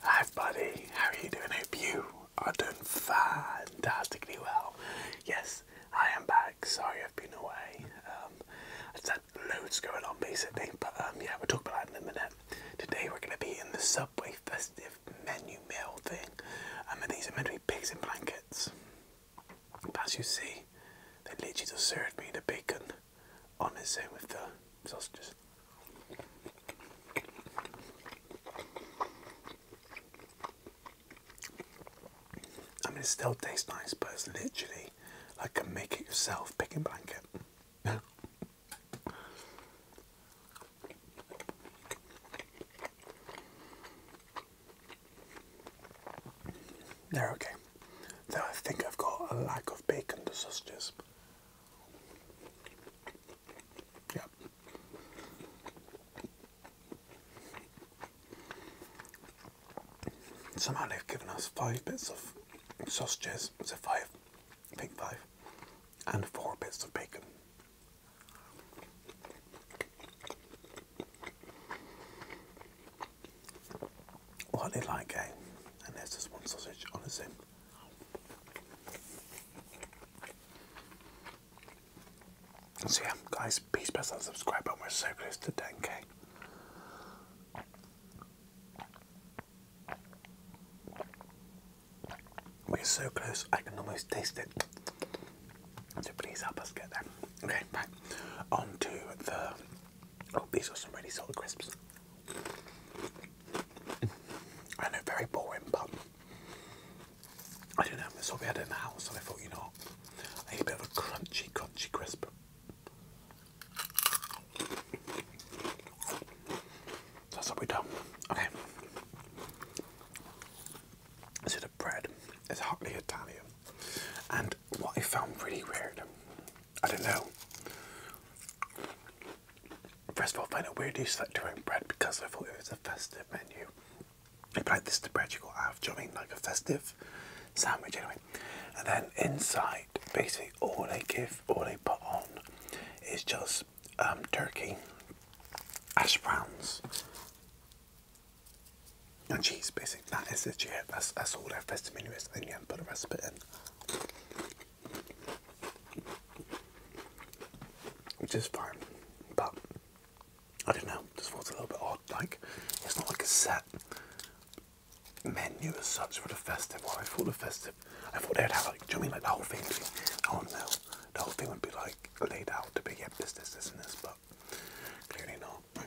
Hi buddy, how are you doing? I hope you are doing fantastically well. Yes, I am back. Sorry I've been away. Um, I just had loads going on basically, but um, yeah, we'll talk about that in a minute. Today we're going to be in the Subway festive menu meal thing. Um, and these are meant to be pigs in blankets. But as you see, they literally just served me the bacon on the same with the sausages. I mean, it still tastes nice, but it's literally like a make it yourself pick and blanket. There, okay. Though I think I've got a lack of bacon to sausages. Yeah. Somehow they've given us five bits of sausages, was it five? I think five. And four bits of bacon what they like, eh? And there's just one sausage, on zip. So yeah, guys, please press that subscribe button. We're so close to 10k. We're so close, I can almost taste it. So please help us get there. Okay, back on to the. Oh, these are some ready solid crisps. I know, very boring, but I don't know. So we had it in the house, and I thought, you know, I need a bit of a crunchy, crunchy crisp. That's what we done. Okay. So a bread It's hotly Italian, and what I found really weird. I don't know. First of all, I find it weird you start your own bread because I thought it was a festive menu. If like this to bread you got out, have, Like a festive sandwich anyway. And then inside, basically all they give, all they put on is just um, turkey, hash browns, and cheese basically. That is legit, that's, that's all their festive menu is. And you not put the rest of it which is fine, but I don't know, just feels a little bit odd. Like it's not like a set menu as such for the festival. Well, I thought the festival. I thought they'd have like, do you know mean like the whole thing? Be, oh no, the whole thing would be like laid out to be yeah, this, this, this, and this, but clearly not.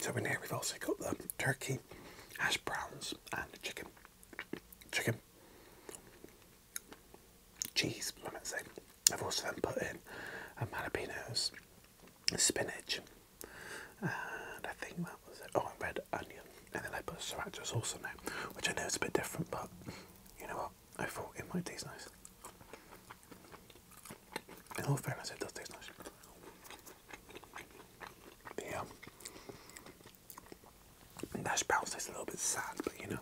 So in here we've also got the turkey, hash browns and the chicken. Chicken. Cheese, I might say. I've also then put in um, jalapenos, spinach, and I think that was it. Oh, red onion, and then I put sriracha sauce on it, which I know is a bit different, but you know what? I thought it might taste nice. In all fairness, it does taste nice. But yeah, that bounce tastes a little bit sad, but you know,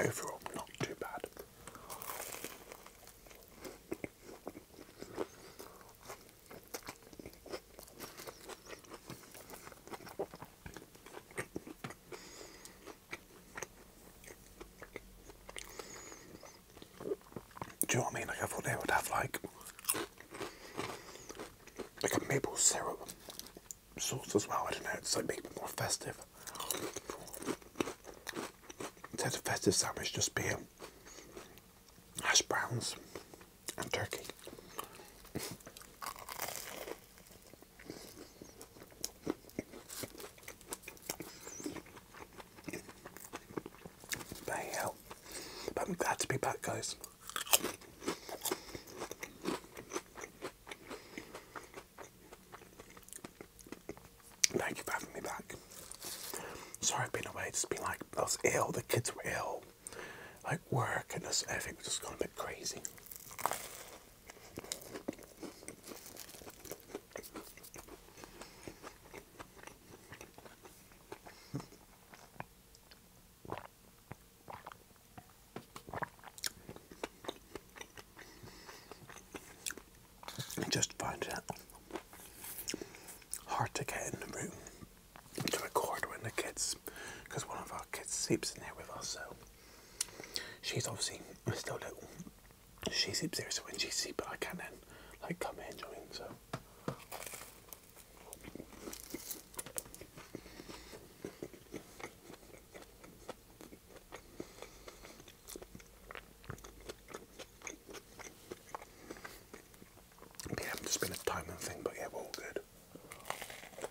Overall, not too bad. Do you know what I mean? Like I thought they would have like like a maple syrup sauce as well. I don't know. It's like make it more festive. Instead of festive sandwich, just be hash browns and turkey. But yeah, I'm glad to be back, guys. Thank you for having me back. Sorry I've been away, Just has been like, I was ill, the kids were ill. Like work and this, everything was just going a bit crazy. I just find it hard to get in the room to record when the kids, because one of our kids sleeps in there with us, so She's obviously still little. She's sleeps here, so when she's asleep, I can then like come in. join. you So. Yeah, it been a timing thing, but yeah, we're all good.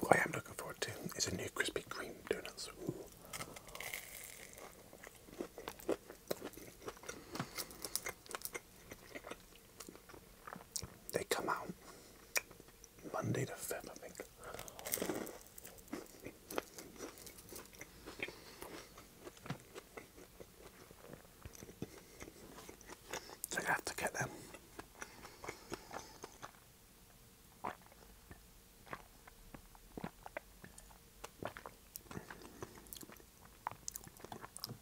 What I am looking forward to is a new Krispy Kreme donuts. They come out Monday the 5th, I think. I have to get them.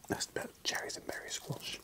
That's about cherries and berry squash.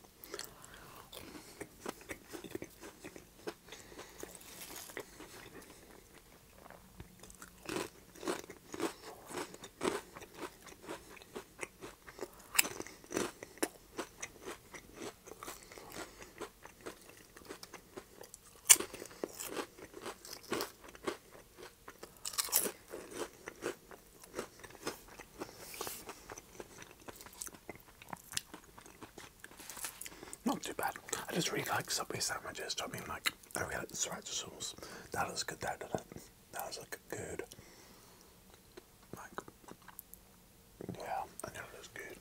Not too bad. I just really like Subway sandwiches. I mean, like, I really like the sriracha sauce. That was good. That, that, that was like good. Like, yeah, I know that's good.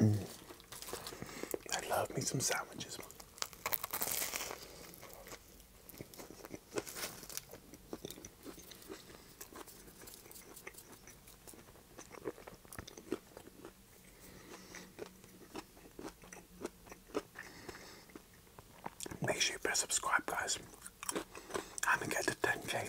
Mm. I love me some sandwiches. Make sure you press subscribe, guys. I'm gonna get to 10k.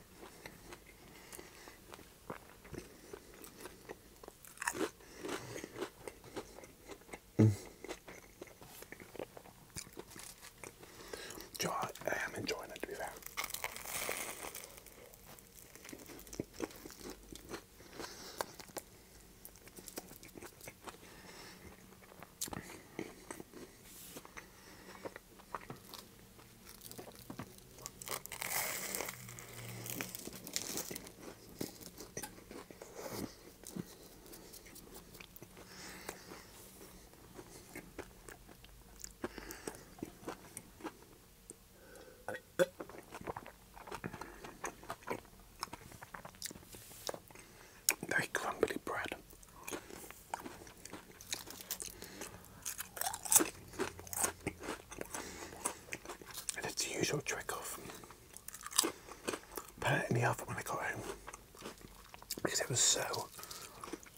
Mm. I, I am enjoying it to be fair. Very crumbly bread it's the usual trick of put it in the oven when I got home because it was so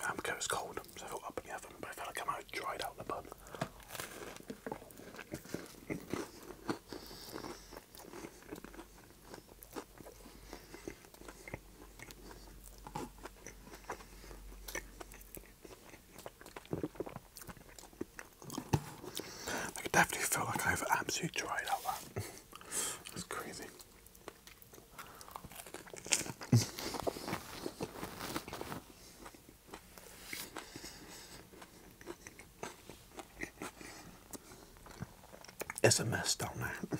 um, because cold, so I thought up in the oven, but I felt like I might have dried out in the bun. I definitely feel like I've absolutely dried out That's crazy. It's a mess down there.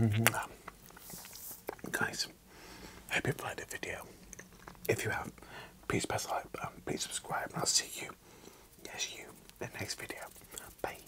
Mm-hmm. Guys, I hope you've liked the video. If you have, please press the like button, please subscribe, and I'll see you, yes, you, in the next video. Bye.